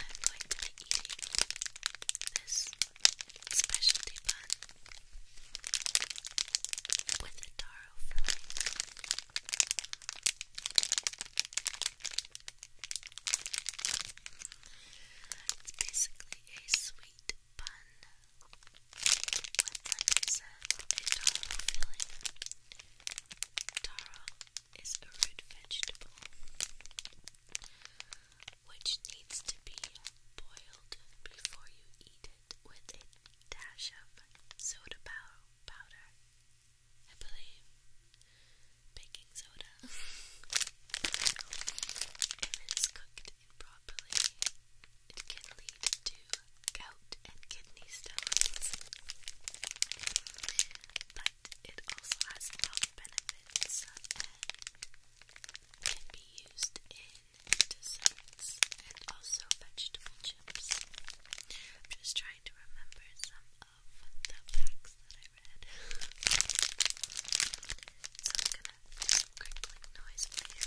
I'm going to be eating this specialty bun with a taro filling. It's basically a sweet bun with, like I said, taro filling. Taro is a root vegetable which needs to be boiled before you eat it with a dash of soda powder. I believe baking soda. if it is cooked improperly, it can lead to gout and kidney stones, but it also has health benefits and can be used in desserts and also vegetable chips. I'm just trying to remember some of the facts that I read crinkling noise, please. All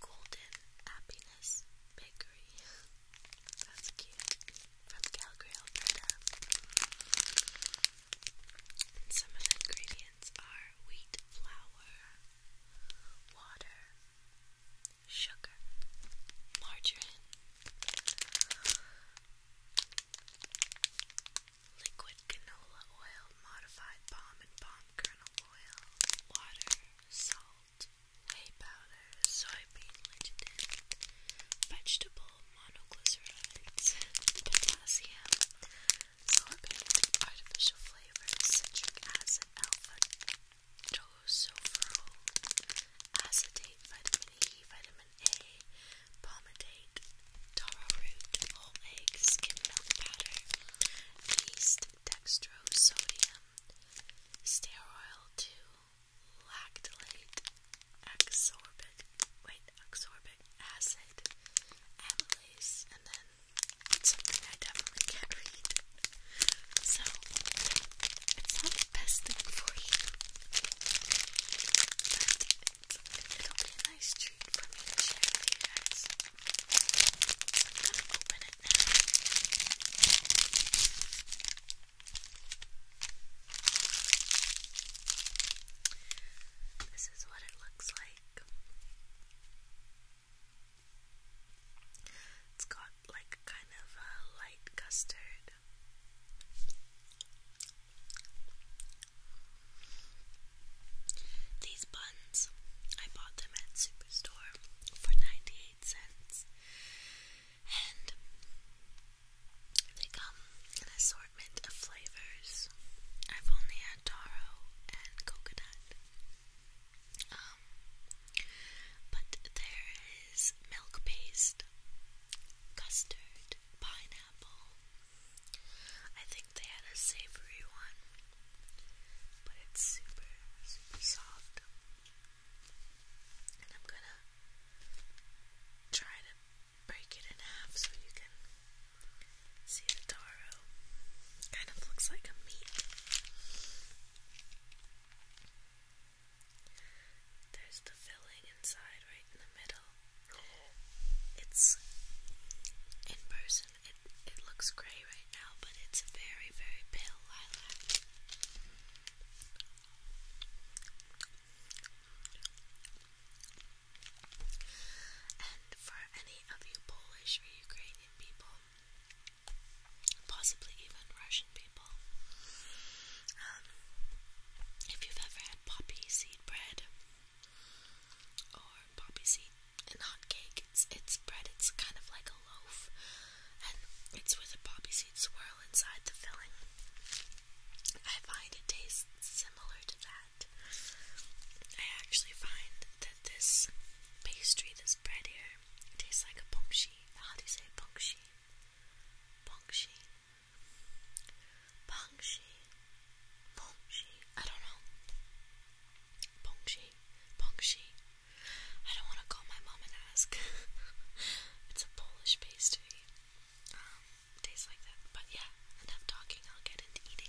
Golden Happiness Bakery. That's cute. From Calgary, Alberta. And some of the ingredients are wheat flour, water, sugar, margarine, liquid canola oil, modified palm and palm kernel oil, water, salt, whey powder, soybean lignin, vegetable monoglycerides, potassium, sorbent, artificial flavors, citric acid, alpha tocopherol, acetate, vitamin E, vitamin A, palmitate, taro root, whole eggs, skim milk powder, yeast, dextrose, sodium, stearoyl 2, lactylate, wait, exorbic acid, amylase, and then something I definitely can't read. it's not the best thing for you, but it'll be nice treat for me to share gonna open it now. This is what it looks like. It's got like kind of a light custard. These buns, I bought them at Superstore for 98 cents. And they come in an assortment of flavors. I've only had taro and coconut. Um, but there is milk paste, custard, pineapple. I think they had a savory one, but it's super, super soft. And I'm gonna try to break it in half so you can see the taro. Kind of looks like a meat. There's the filling inside right in the middle. It's in person, it, it looks grey right now, but it's a very, very pale lilac. And for any of you Polish or Ukrainian people, possibly even Russian people, um, if you've ever had poppy seed bread, or poppy seed and hot cake. It's it's bread. It's kind of like a loaf, and it's with a poppy seed swirl inside the filling. I find it tastes similar to that. I actually find that this pastry, this bread here, tastes like a pongshi. How do you say pongshi? Pongshi. Bongshi, Bongshi, I don't know. Bongshi, Bongshi. I don't want to call my mom and ask. it's a Polish pastry. Um, like that. But yeah, enough talking. I'll get into eating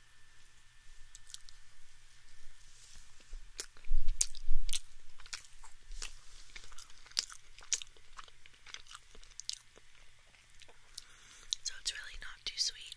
So it's really not too sweet.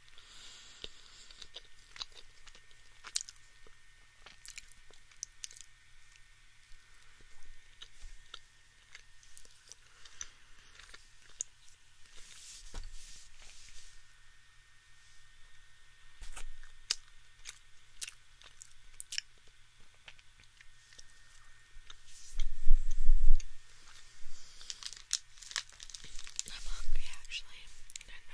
I'm hungry actually, and I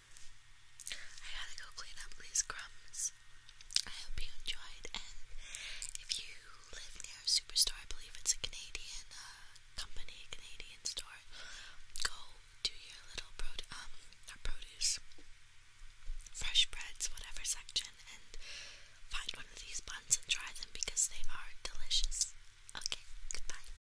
I gotta go clean up these crumbs. I hope you enjoyed, and if you live near a superstore, I believe it's a Canadian uh, company, Canadian store, go to your little pro um, not produce, fresh breads, whatever section, and find one of these buns and try them because they are delicious. Okay, goodbye.